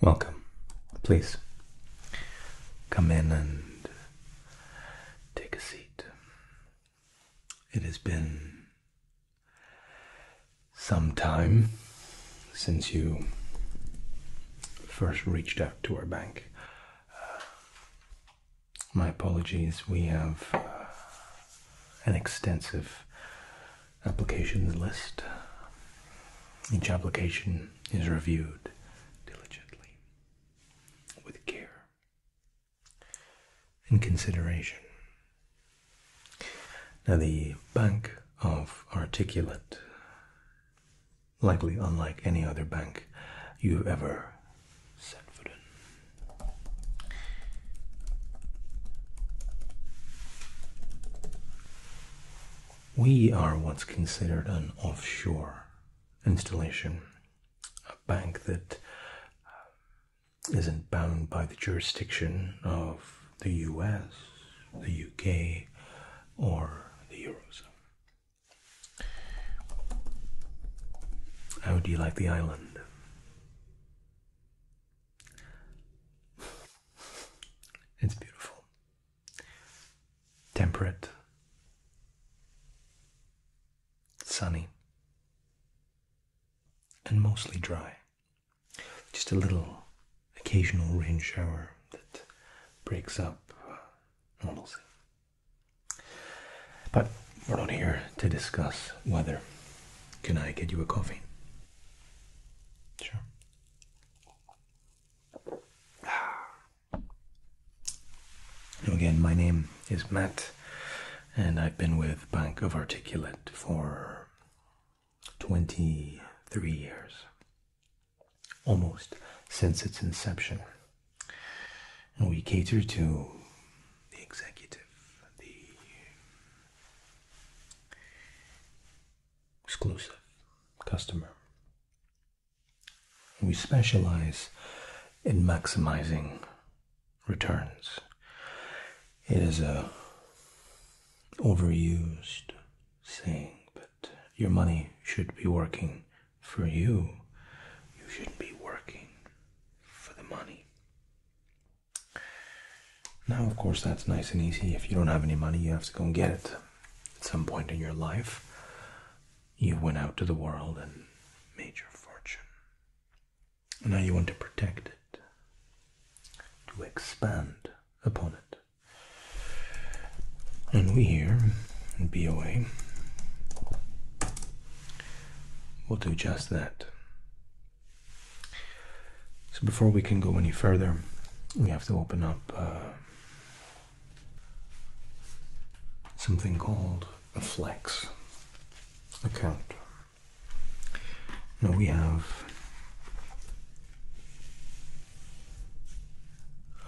Welcome. Please come in and take a seat. It has been some time since you first reached out to our bank. Uh, my apologies, we have uh, an extensive application list. Each application is reviewed diligently with care and consideration. Now, the bank of articulate, likely unlike any other bank you've ever set foot in, we are what's considered an offshore installation, a bank that uh, isn't bound by the jurisdiction of the US, the UK, or the Eurozone. How do you like the island? It's beautiful. Temperate. Sunny. And mostly dry. Just a little occasional rain shower that breaks up normalcy. But we're not here to discuss weather. Can I get you a coffee? Sure. Again, my name is Matt, and I've been with Bank of Articulate for 23 years, almost since its inception. And we cater to the executive, the exclusive customer. We specialize in maximizing returns. It is a overused saying, but your money should be working for you. You should not be working for the money. Now, of course, that's nice and easy. If you don't have any money, you have to go and get it. At some point in your life, you went out to the world and made your fortune. Now you want to protect it, to expand upon it. And we here in BOA will do just that. So before we can go any further, we have to open up uh, something called a flex account. Now we have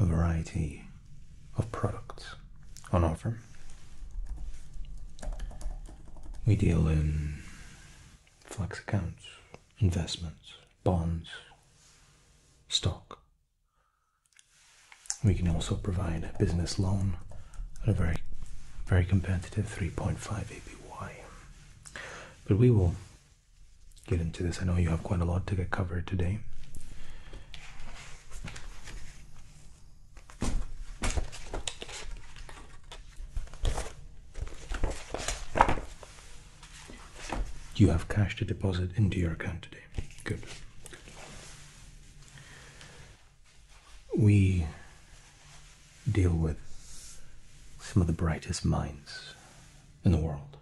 a variety of products on offer we deal in flex accounts, investments, bonds, stock. We can also provide a business loan at a very, very competitive 3.5 APY. But we will get into this. I know you have quite a lot to get covered today. You have cash to deposit into your account today. Good. We deal with some of the brightest minds in the world,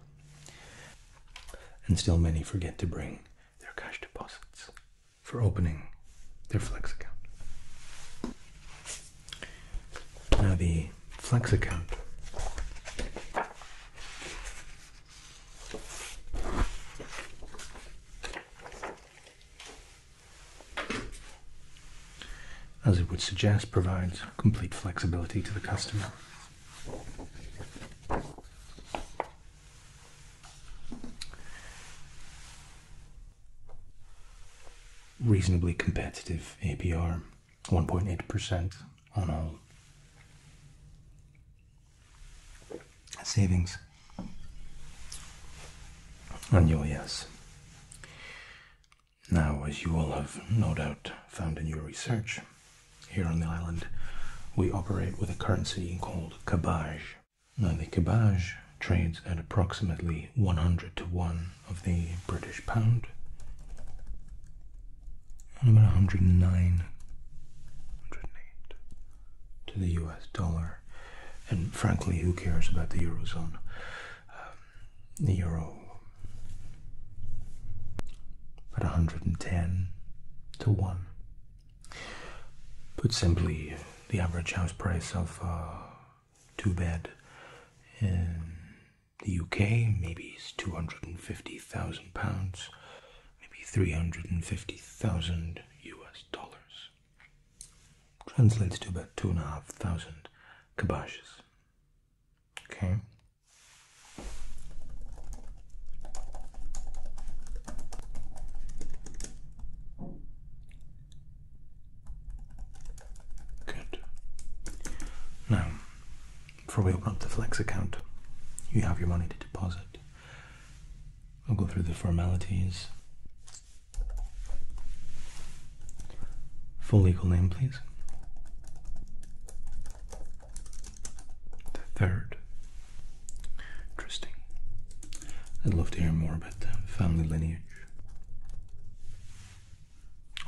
and still many forget to bring their cash deposits for opening their Flex account. Now, the Flex account as it would suggest, provides complete flexibility to the customer reasonably competitive APR, 1.8% on all savings. on your yes. Now, as you all have no doubt found in your research, here on the island we operate with a currency called kabaj. Now, the kabaj trades at approximately 100 to 1 of the British pound and about 109, to the US dollar. And frankly, who cares about the Eurozone? Um, the Euro at 110 to 1 Put simply, the average house price of uh, two bed in the UK maybe is two hundred and fifty thousand pounds, maybe three hundred and fifty thousand US dollars. Translates to about two and a half thousand kabashes. Okay. Good. Now, before we open up the Flex account, you have your money to deposit. I'll go through the formalities. Full legal name, please. The third Interesting. I'd love to hear more about the family lineage.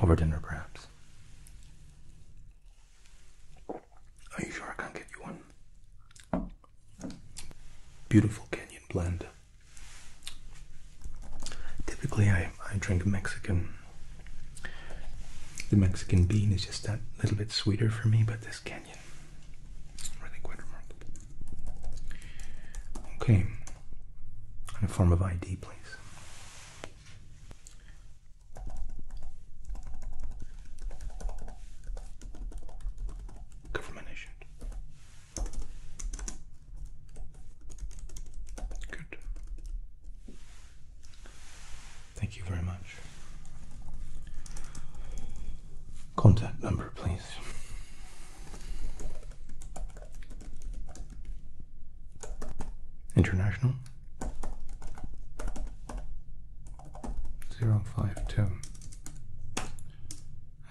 Over dinner, perhaps. Are you sure I can't get you one? Beautiful Canyon blend. Typically, I, I drink Mexican. The Mexican bean is just that little bit sweeter for me, but this really quite remarkable. Okay, and a form of ID, please. Government issued. Good. Thank you very much. Contact number, please. International zero five two.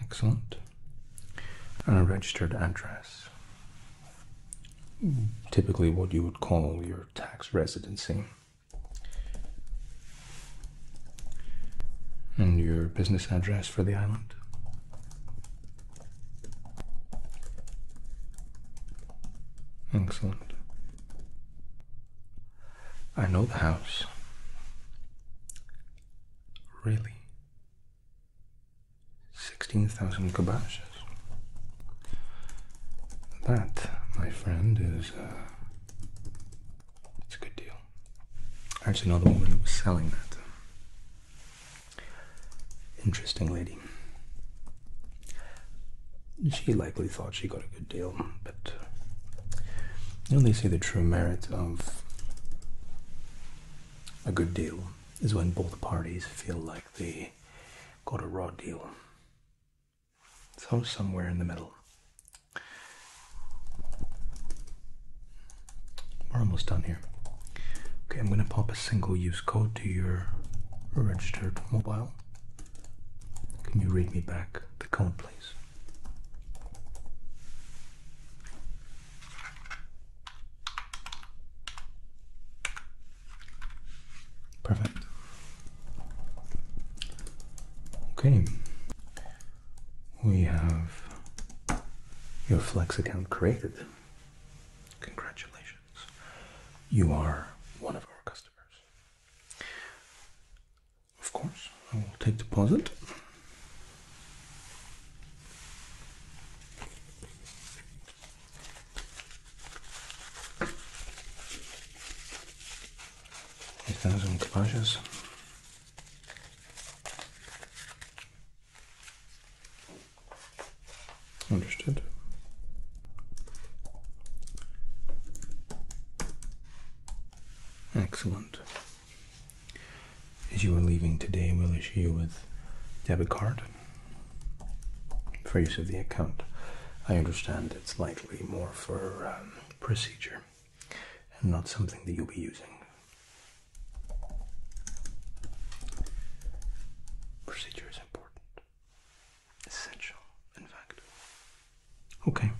Excellent. And a registered address. Typically, what you would call your tax residency. And your business address for the island? Excellent. I know the house. Really? 16,000 kabashes. That, my friend, is uh, it's a good deal. I actually know the woman who was selling that. Interesting lady. She likely thought she got a good deal, but you know they the true merit of a good deal is when both parties feel like they got a raw deal. So somewhere in the middle. We're almost done here. Okay, I'm going to pop a single use code to your registered mobile. Can you read me back the code, please? Perfect. Okay we have your Flex account created. Congratulations. You are one of our customers. Of course, I will take deposit. Eight thousand kabajas. Understood. Excellent. As you are leaving today, we'll issue you with debit card for use of the account. I understand it's likely more for um, procedure and not something that you'll be using. Procedure is important. Essential, in fact. Okay.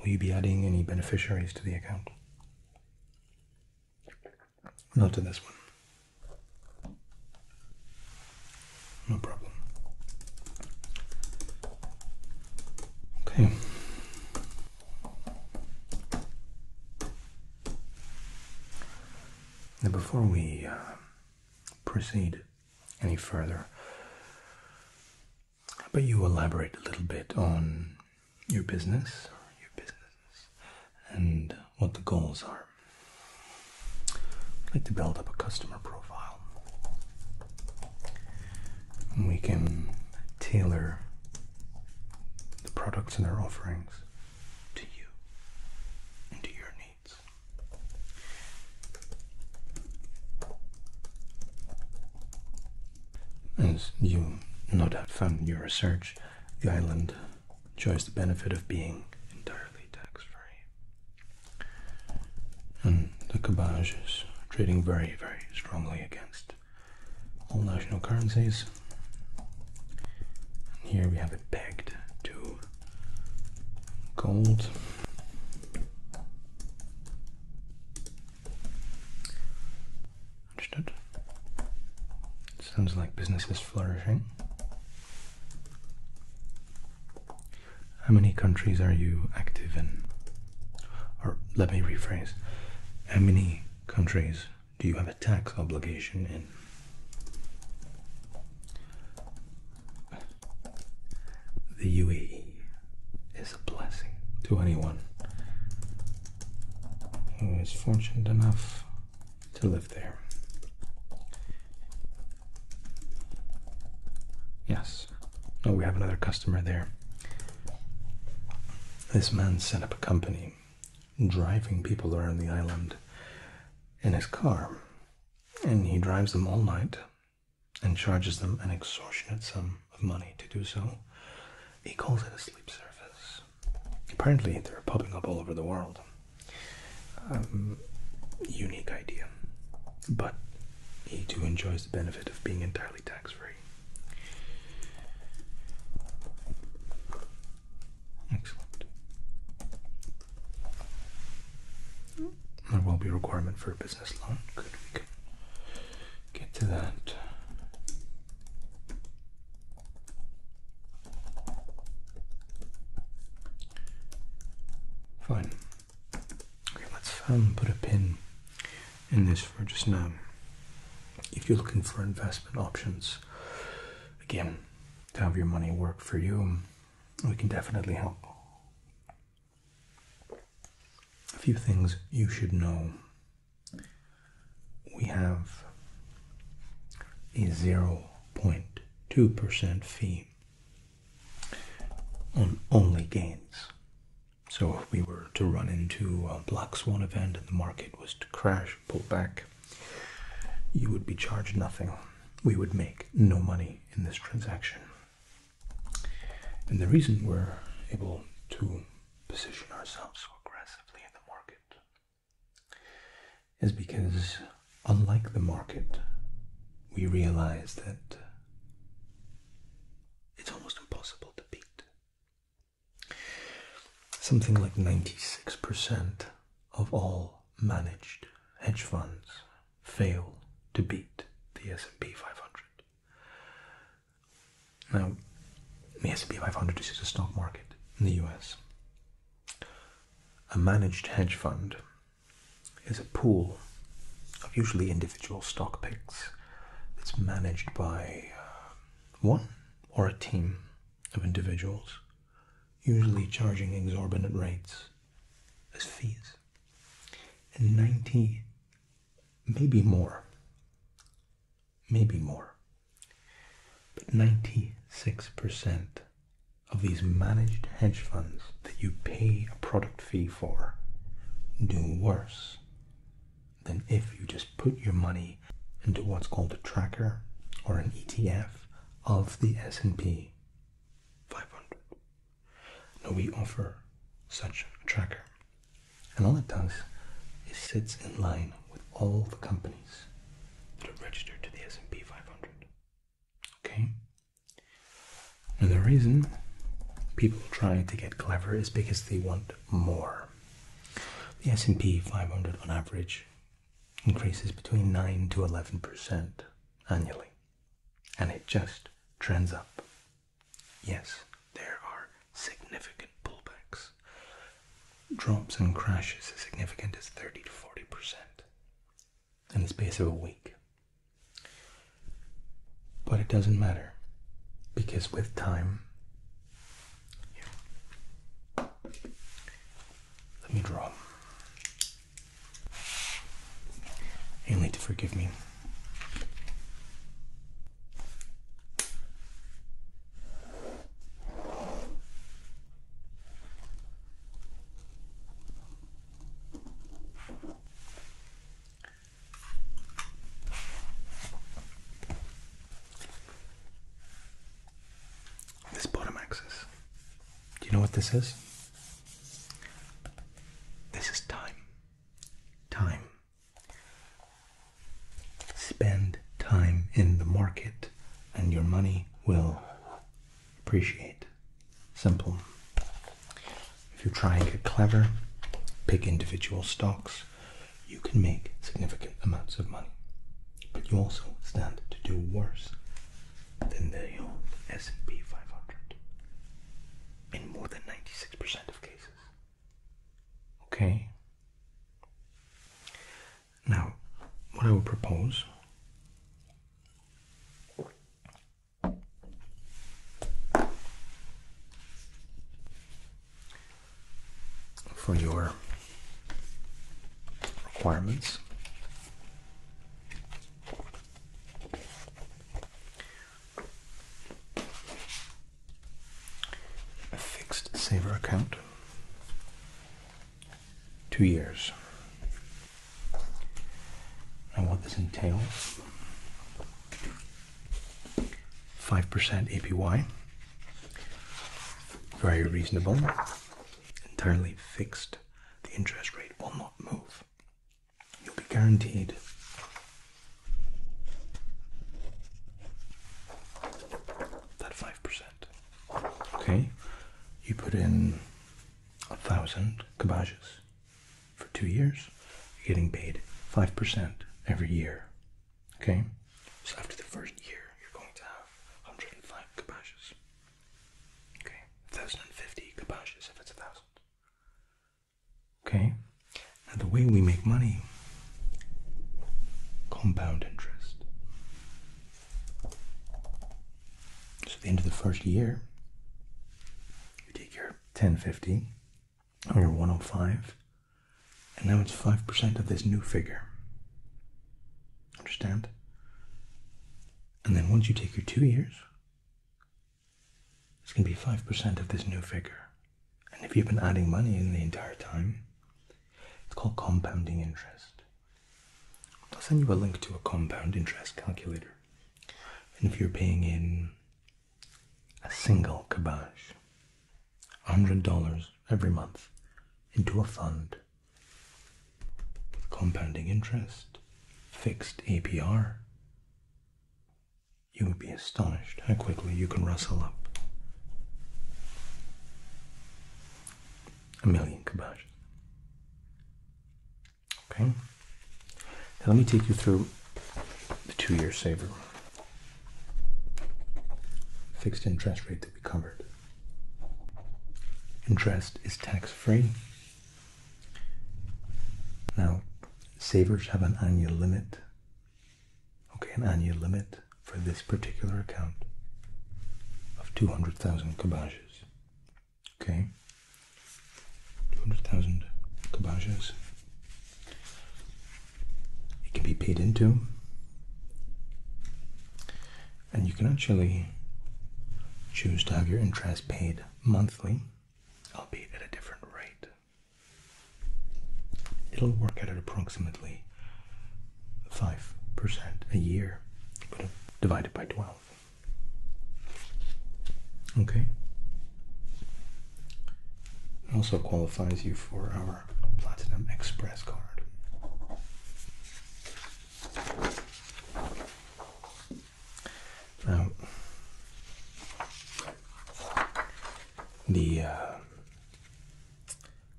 Will you be adding any beneficiaries to the account? Not to this one. No problem. Okay. Now, before we uh, proceed any further, I'd about you elaborate a little bit on your business and what the goals are? I'd like to build up a customer profile. And we can tailor the products and their offerings to you and to your needs. As you no doubt found in your research, the island enjoys the benefit of being entirely tax free and hmm, the Kabaj is trading very, very strongly against all national currencies. And here we have it pegged to gold. Understood? Sounds like business is flourishing. How many countries are you active in? Or let me rephrase. How many countries do you have a tax obligation in? The UAE is a blessing to anyone who is fortunate enough to live there. Yes, Oh, we have another customer there. This man set up a company driving people around the island in his car, and he drives them all night and charges them an extortionate sum of money to do so. He calls it a sleep service. Apparently, they're popping up all over the world. Um, unique idea, but he too enjoys the benefit of being entirely tax free. Excellent. There will be a requirement for a business loan. Good, get to that. Fine. Okay, let's um, put a pin in this for just now. If you're looking for investment options, again, to have your money work for you, um, we can definitely help. A few things you should know. We have a 0.2% fee on only gains. So if we were to run into a black swan event and the market was to crash, pull back, you would be charged nothing. We would make no money in this transaction. And the reason we're able to position ourselves so aggressively in the market is because, unlike the market, we realize that it's almost impossible to beat. Something like 96% of all managed hedge funds fail to beat the S&P 500. Now, the S&P 500 is a stock market in the US. A managed hedge fund is a pool of usually individual stock picks that's managed by um, one or a team of individuals, usually charging exorbitant rates as fees. And 90, maybe more, maybe more, but 96% of these managed hedge funds that you pay a product fee for do worse than if you just put your money into what's called a tracker or an ETF of the S&P 500. Now we offer such a tracker. And all it does is sits in line with all the companies that are registered to the S&P 500. Okay? And the reason people try to get clever is because they want more. The S&P 500 on average increases between 9 to 11% annually, and it just trends up. Yes, there are significant pullbacks. Drops and crashes as significant as 30 to 40% in the space of a week. But it doesn't matter because with time, let me draw. You'll need to forgive me. This bottom axis. Do you know what this is? This is time. Time. Spend time in the market and your money will appreciate. Simple. If you try and get clever, pick individual stocks, you can make significant amounts of money. But you also stand to do worse than the old S&P 500 in more than 96% of cases. Okay? Now, what I would propose for your requirements. A fixed saver account, two years and what this entails 5% APY, very reasonable, entirely fixed. The interest rate will not move. You'll be guaranteed that 5%. Okay, you put in a thousand kabajas for two years, you're getting paid 5% every year. Okay? So after the first year, you're going to have 105 kabashes. Okay? 1,050 kabashes if it's a thousand. Okay? Now, the way we make money compound interest. So at the end of the first year, you take your 1050 or your 105, and now it's 5% of this new figure. Understand? And then once you take your two years, it's going to be 5% of this new figure. And if you've been adding money in the entire time, it's called compounding interest. I'll send you a link to a compound interest calculator. And if you're paying in a single kibosh, $100 every month into a fund with compounding interest, fixed APR, you would be astonished how quickly you can rustle up a million kiboshes. Okay. let me take you through the two-year saver. Fixed interest rate that we covered. Interest is tax-free. Now, savers have an annual limit. Okay, an annual limit for this particular account of 200,000 kabajas. Okay. 200,000 kabajas. It can be paid into. And you can actually choose to have your interest paid monthly, albeit at a different rate. It'll work at approximately 5% a year, but divided by 12. Okay? also qualifies you for our Platinum Express card. Now, the uh,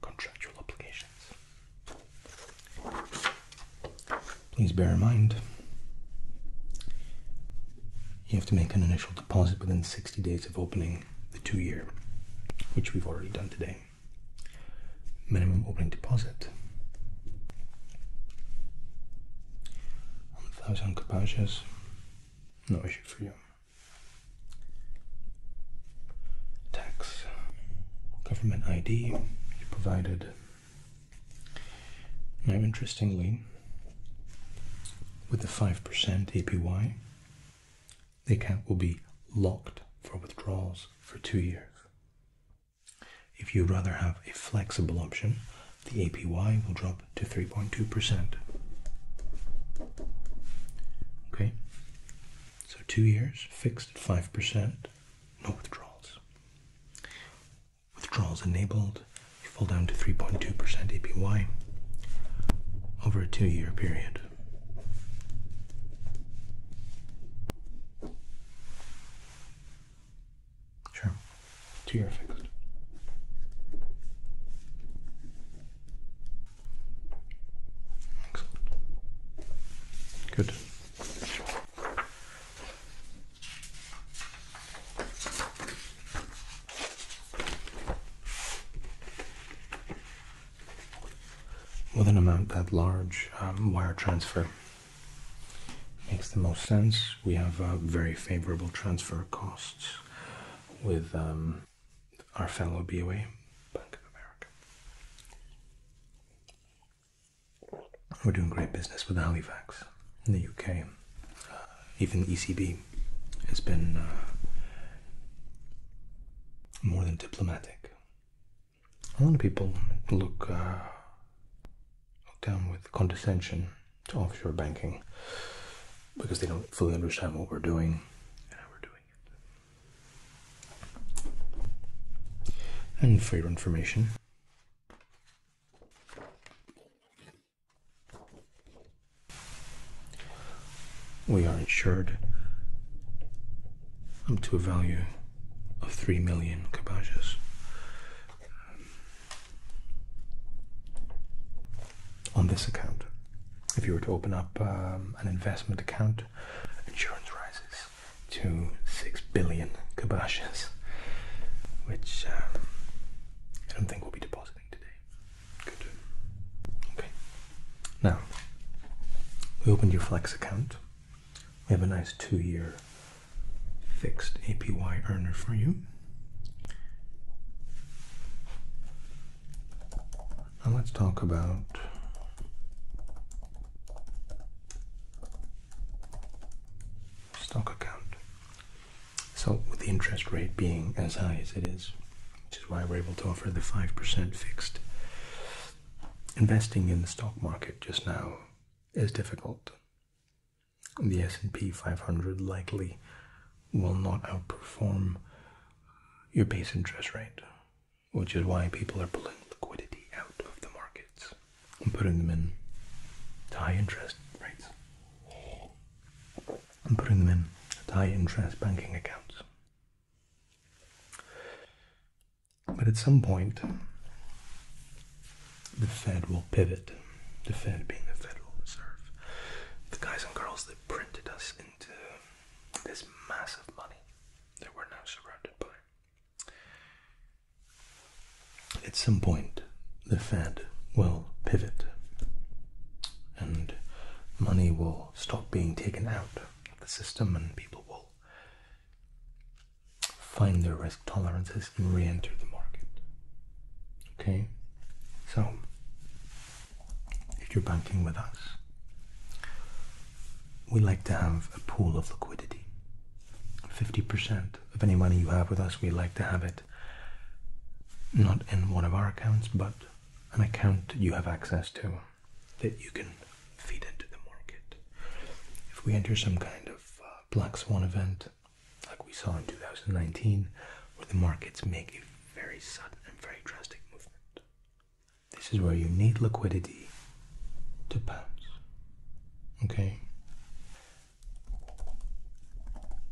contractual obligations please bear in mind you have to make an initial deposit within 60 days of opening the two year, which we've already done today. Minimum opening deposit. 1,000 kapacias, no issue for you. Tax, government ID, you provided now, interestingly, with the 5% APY, the account will be locked for withdrawals for two years. If you rather have a flexible option, the APY will drop to 3.2%. Okay, so two years fixed at 5%, no withdrawals. Withdrawals enabled, you fall down to 3.2% APY over a two year period. Sure, two year fixed. Excellent. Good. With an amount that large, um, wire transfer makes the most sense. We have uh, very favorable transfer costs with um, our fellow BOA, Bank of America. We're doing great business with Halifax in the UK. Uh, even ECB has been uh, more than diplomatic. A lot of people uh, look, down with condescension to offshore banking because they don't fully understand what we're doing And for your information, we are insured up to a value of 3 million kabajas. On this account, if you were to open up um, an investment account, insurance rises to 6 billion kiboshes, which um, I don't think we'll be depositing today. Good. Okay. Now, we opened your Flex account. We have a nice two year fixed APY earner for you. Now let's talk about stock account. So, with the interest rate being as high as it is, which is why we're able to offer the 5% fixed, investing in the stock market just now is difficult. The S&P 500 likely will not outperform your base interest rate, which is why people are pulling liquidity out of the markets and putting them in high interest rates. And putting them in high interest banking accounts. But at some point, the Fed will pivot. The Fed being the Federal Reserve. The guys and girls that printed us into this massive money that we're now surrounded by. At some point, the Fed will pivot and money will stop being taken out of the system, and people will find their risk tolerances and re enter the market. Okay? So, if you're banking with us, we like to have a pool of liquidity 50% of any money you have with us, we like to have it not in one of our accounts, but an account you have access to that you can feed into the market. If we enter some kind of uh, black swan event, like we saw in 2019, where the markets make a very sudden and very drastic movement, this is where you need liquidity to pounds. Okay?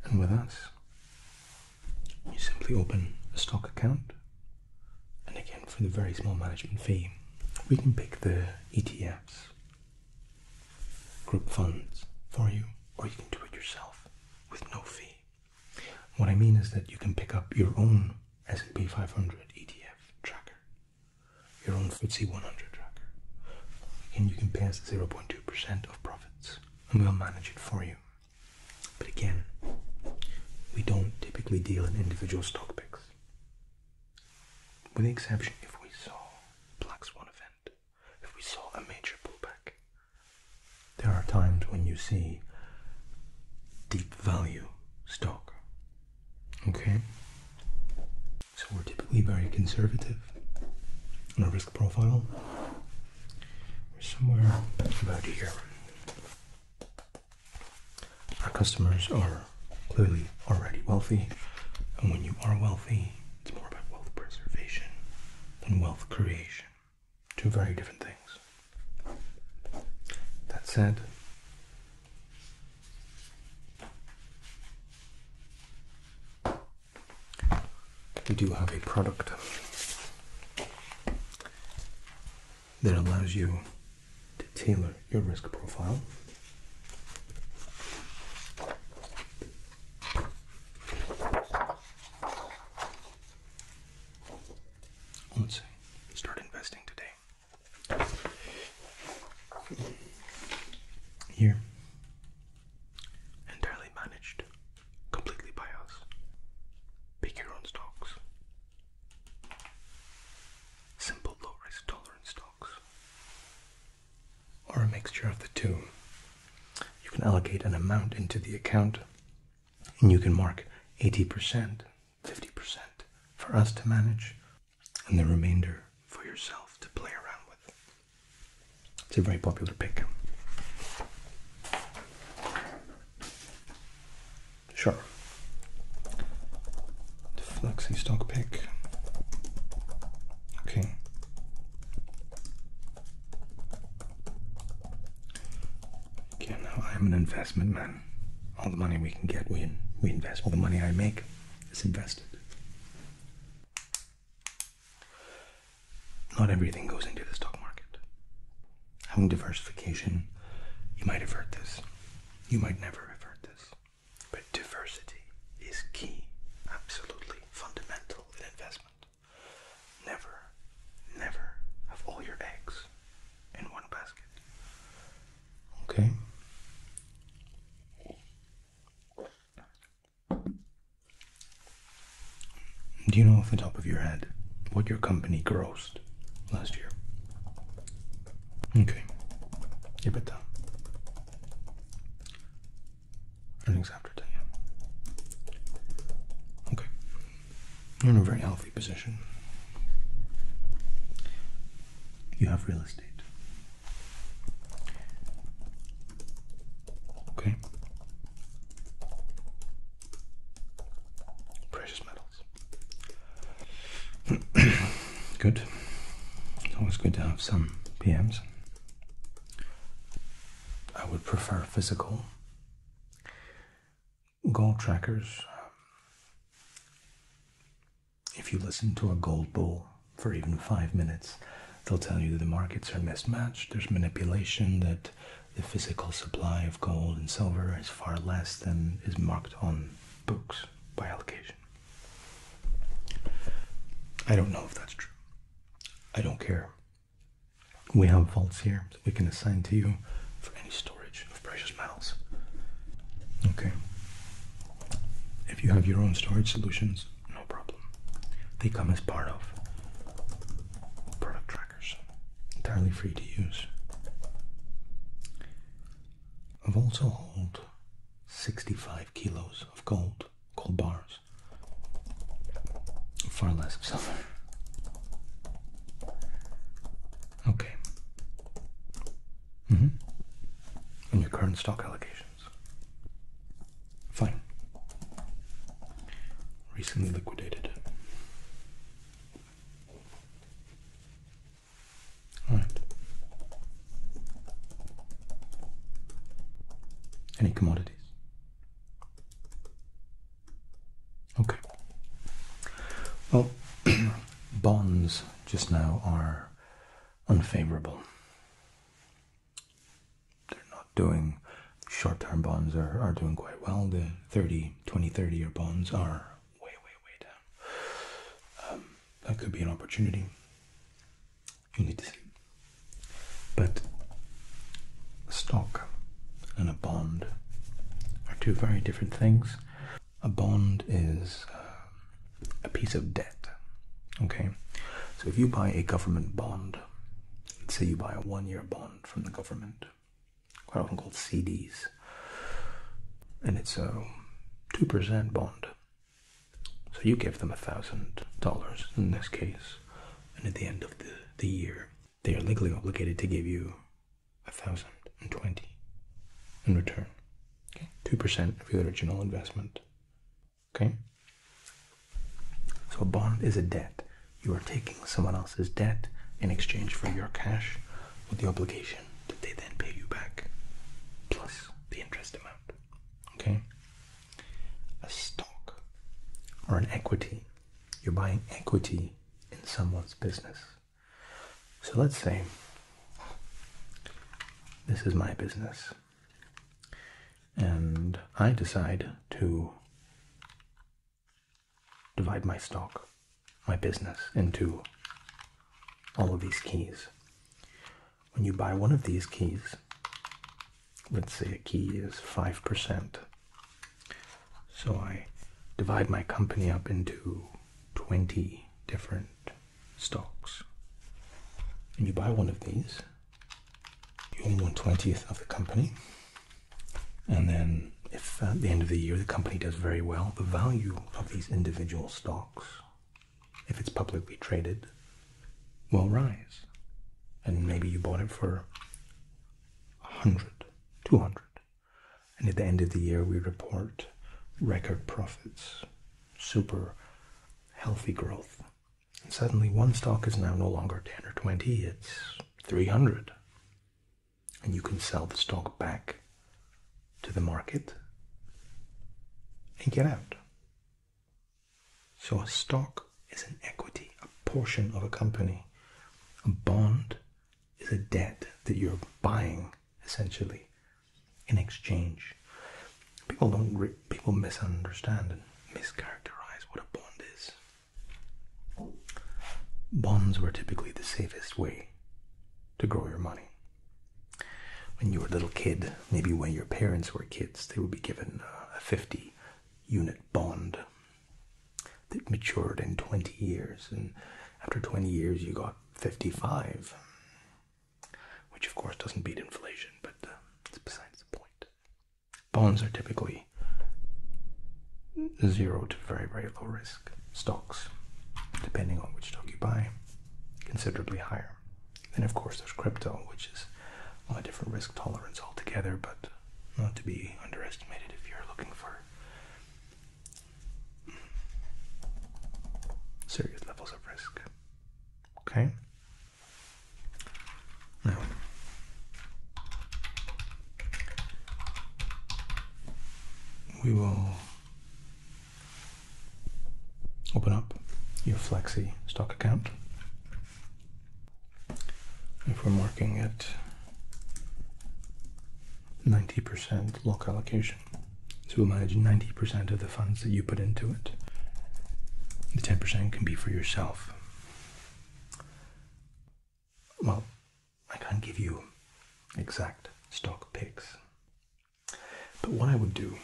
And with us, you simply open a stock account, and again, for the very small management fee, we can pick the ETFs, group funds for you, or you can do it yourself with no fee. What I mean is that you can pick up your own S&P 500 ETF tracker your own FTSE 100 tracker. And you can pay us 0.2% of profits, and we'll manage it for you. But again, we don't typically deal in individual stock picks. With the exception if we saw Black Swan event, if we saw a major pullback. There are times when you see deep value stock. Okay? So we're typically very conservative on our risk profile. We're somewhere about here. Our customers are clearly already wealthy, and when you are wealthy, it's more about wealth preservation than wealth creation. Two very different things. That said, we do have a product that allows you to tailor your risk profile. Let's start investing today. Here. Entirely managed completely by us. Pick your own stocks. Simple low risk tolerance stocks. Or a mixture of the two. You can allocate an amount into the account and you can mark 80%, 50% for us to manage, and the remainder for yourself to play around with. It's a very popular pick. Sure. The Flexi stock pick. Okay. Okay, now I'm an investment man. All the money we can get, we we invest. All the money I make, is invested. Not everything goes into the stock market. Having diversification, you might avert this. You might never avert this. But diversity is key, absolutely fundamental in investment. Never, never have all your eggs in one basket. Okay. Do you know off the top of your head what your company grossed last year? Okay. EBITDA. Earnings after tax. Okay. You're in a very healthy position you have real estate. Okay? Precious metals. good. It's always good to have some PMs. I would prefer physical. Goal trackers. Um, if you listen to a gold bull for even five minutes, they'll tell you that the markets are mismatched, there's manipulation, that the physical supply of gold and silver is far less than is marked on books by allocation. I don't know if that's true. I don't care. We have vaults here that we can assign to you for any storage precious metals. Okay. If you have your own storage solutions, no problem. They come as part of product trackers, entirely free to use. I've also held 65 kilos of gold, gold bars, far less of silver. Okay, Mm -hmm. And your current stock allocations. Fine. Recently liquidated. All right. Any commodities? Okay. Well, bonds just now are unfavorable. They're not doing short term bonds are, are doing quite well. The 30, 20, 30 year bonds are way, way, way down. Um, that could be an opportunity. You need But a stock and a bond are two very different things a bond is uh, a piece of debt. Okay, so if you buy a government bond, let's say you buy a one-year bond from the government, quite often called CDs, and it's a two percent bond. So you give them a thousand dollars in this case, and at the end of the, the year, they are legally obligated to give you a thousand and twenty in return. two percent of your original investment. Okay. So a bond is a debt. You are taking someone else's debt in exchange for your cash with the obligation that they then pay you back plus the interest amount. Okay? A stock or an equity. You're buying equity in someone's business. So let's say this is my business, and I decide to divide my stock, my business, into all of these keys. When you buy one of these keys, let's say a key is 5%. So I divide my company up into 20 different stocks. And you buy one of these, you own twentieth of the company, and then if at the end of the year the company does very well, the value of these individual stocks, if it's publicly traded, will rise. And maybe you bought it for 100, 200, and at the end of the year, we report record profits, super healthy growth. And suddenly, one stock is now no longer 10 or 20, it's 300. And you can sell the stock back to the market and get out. So, a stock is an equity, a portion of a company. A bond is a debt that you're buying essentially in exchange. People don't people misunderstand and mischaracterize what a bond is. Bonds were typically the safest way to grow your money. When you were a little kid, maybe when your parents were kids, they would be given a 50 unit bond that matured in 20 years. And after 20 years, you got 55, which of course doesn't beat inflation, but uh, it's besides the point. Bonds are typically zero to very, very low risk. Stocks, depending on which stock you buy, considerably higher. And of course, there's crypto, which is a different risk tolerance altogether, but not to be underestimated if you're looking for serious levels of risk. Okay? Now, we will open up your Flexi stock account. If we're marking it 90% lock allocation, so we'll manage 90% of the funds that you put into it. The 10% can be for yourself. Well, I can't give you exact stock picks. But what I would do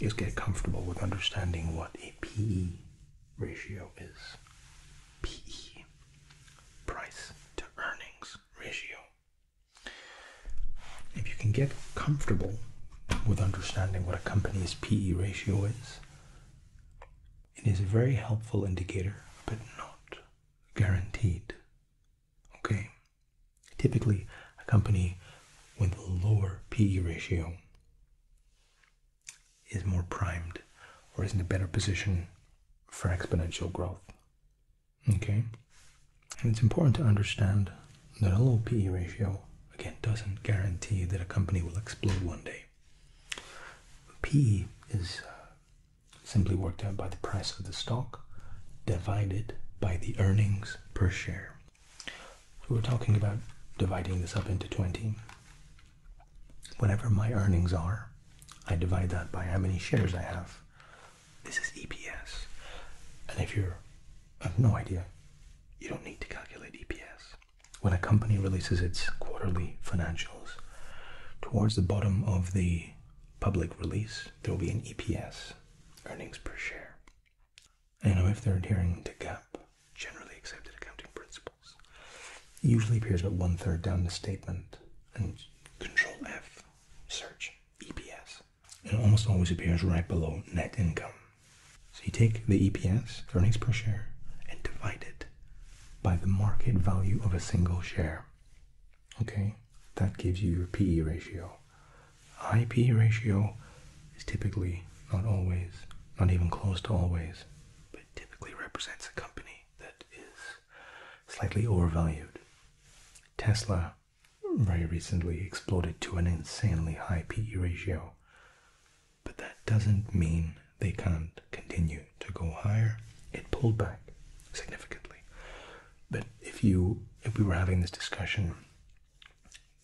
is get comfortable with understanding what a ratio is. PE, price to earnings ratio. If you can get comfortable with understanding what a company's PE ratio is, it is a very helpful indicator, but not guaranteed. Okay? Typically, a company with a lower PE ratio is more primed or is in a better position for exponential growth. Okay? And it's important to understand that a low PE ratio, again, doesn't guarantee that a company will explode one day. P is uh, simply worked out by the price of the stock divided by the earnings per share. So we're talking about dividing this up into 20. Whatever my earnings are, I divide that by how many shares I have. This is EPS. And if you're, I have no idea, you don't need to calculate EPS. When a company releases its quarterly financials, towards the bottom of the public release, there will be an EPS, earnings per share. And if they're adhering to GAAP, generally accepted accounting principles, usually appears about one third down the statement. And Control F search EPS. It almost always appears right below net income. So you take the EPS, earnings per share, and divide it by the market value of a single share. Okay, that gives you your PE ratio. High PE ratio is typically not always, not even close to always, but typically represents a company that is slightly overvalued. Tesla very recently exploded to an insanely high PE ratio, but that doesn't mean they can't continue to go higher. It pulled back significantly. But if you if we were having this discussion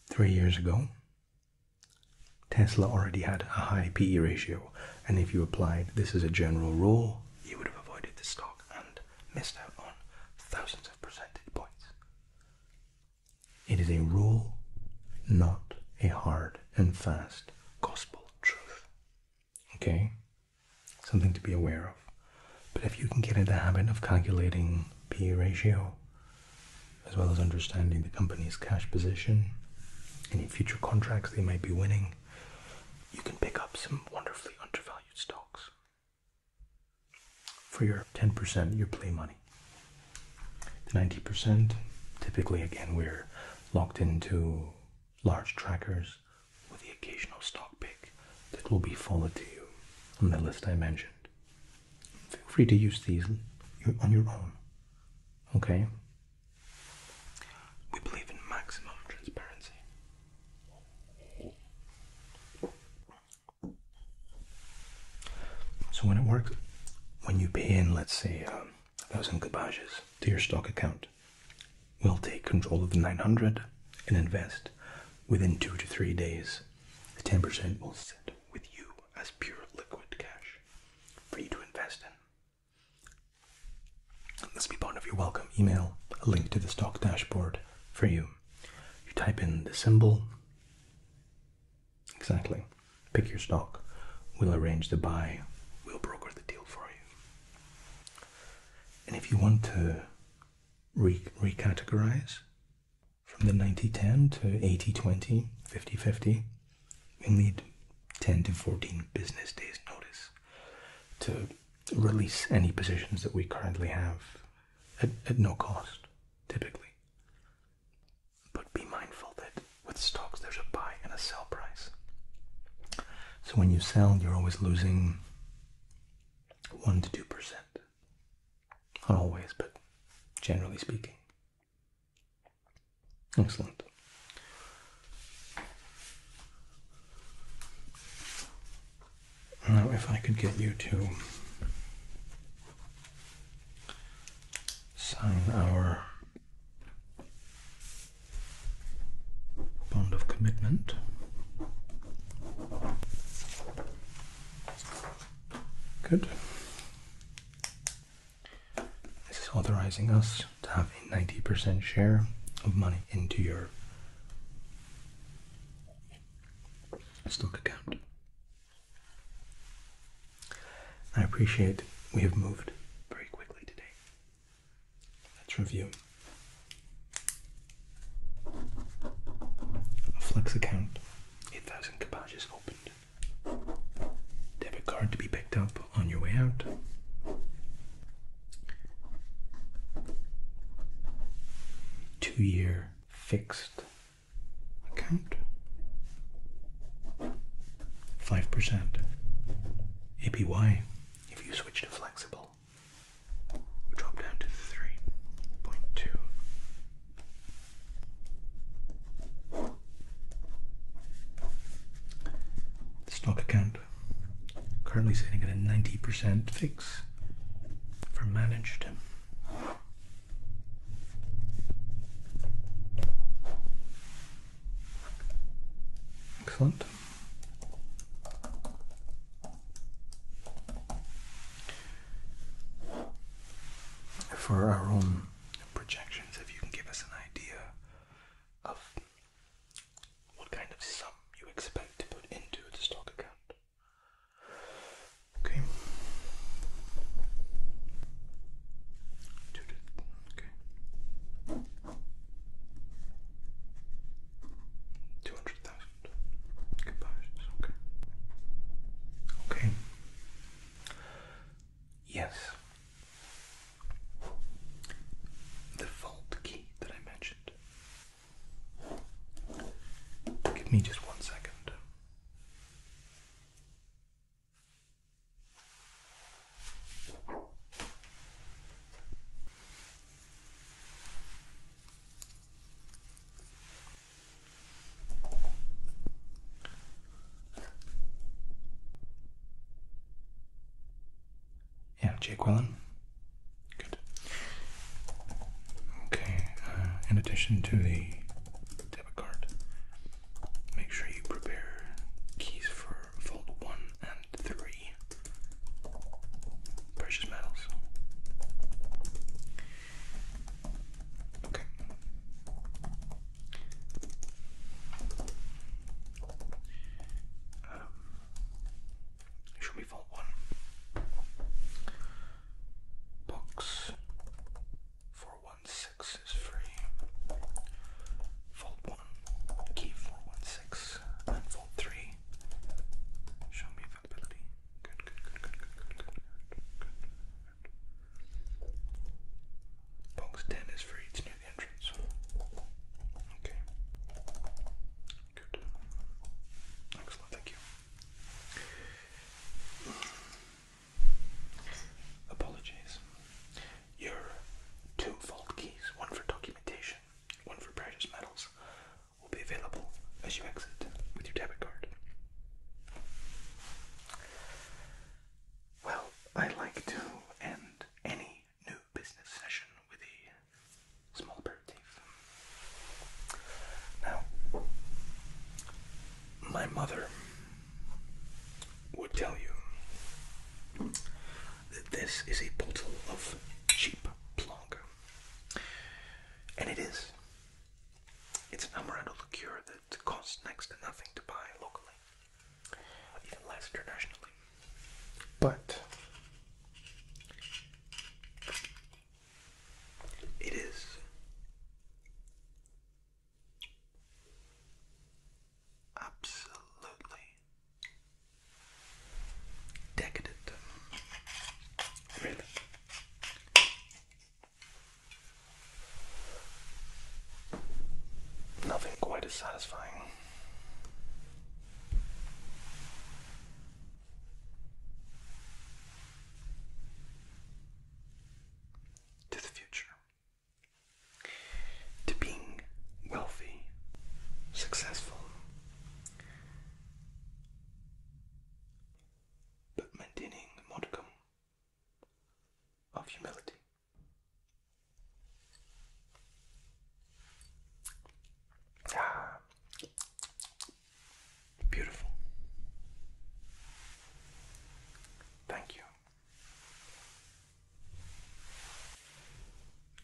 three years ago, Tesla already had a high PE ratio, and if you applied this as a general rule, you would have avoided the stock and missed out on thousands of percentage points. It is a rule, not a hard and fast gospel truth. Okay? Something to be aware of. But if you can get in the habit of calculating P ratio, as well as understanding the company's cash position, any future contracts they might be winning, you can pick up some wonderfully undervalued stocks for your 10%, your play money. The 90%, typically, again, we're locked into large trackers with the occasional stock pick that will be forwarded to you on the list I mentioned. Feel free to use these on your own. Okay? We believe in maximum transparency. So when it works, when you pay in, let's say, uh, a thousand kabages to your stock account, we'll take control of the 900 and invest within two to three days. The 10% will sit with you as pure liquid cash for you to invest in. This will be part of your welcome email, a link to the stock dashboard for you. You type in the symbol. Exactly. Pick your stock. We'll arrange the buy. We'll broker the deal for you. And if you want to re recategorize from the 90-10 to 80-20, 50-50, you'll need 10 to 14 business days notice to release any positions that we currently have at, at no cost, typically. But be mindful that with stocks there's a buy and a sell price. So when you sell, you're always losing 1 to 2%. Not always, but generally speaking. Excellent. Now, if I could get you to sign our bond of commitment. Good. This is authorizing us to have a 90% share of money into your stock account. I appreciate we have moved very quickly today. Let's review. A flex account, 8,000 kapages opened. Debit card to be picked up, on your way out. Two year fixed account. 5% APY if you switch to flexible. drop down to 3.2. stock account Currently sitting at a 90% fix for managed. Excellent. For our own projections, if you can give us an idea of what kind of sum you expect to put into the stock account. Okay. Okay. Two hundred thousand. Comparisons. Okay. Okay. Yes, the vault key that I mentioned. Give me just one second. Yeah, Jake Wellen. Good. Okay, uh, in addition to the debit card, make sure you prepare keys for fold one and three precious metals. Okay. Um, should we vault one? Books. 416 is free. Vault 1, key 416, and Vault 3. Show me availability. Good, good, good, good, good, good, good, good, Box 10 is free, the entrance. Okay. Good. Excellent, thank you. Apologies. Your two vault keys, one for documentation, one for precious metals, will be available as you exit with your debit card. Well, I like to end any new business session with a small aperitif. Now, my mother would tell you that this is a bottle of cheap Blanc. And it is. It's an amaretto liqueur that costs next to nothing to buy locally even less internationally. But it is absolutely decadent. Really. Nothing quite as satisfying to the future, to being wealthy, successful, but maintaining the modicum of humility. Ah, beautiful. Thank you.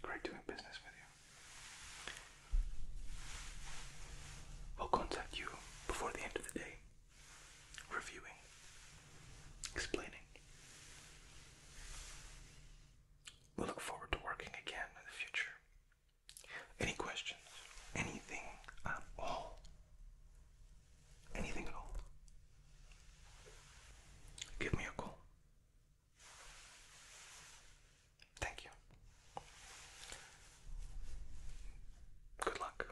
Great doing business with you. We'll contact you before the end of the day, reviewing, explaining, we look forward to working again in the future. Any questions? Anything at all? Anything at all? Give me a call. Thank you. Good luck.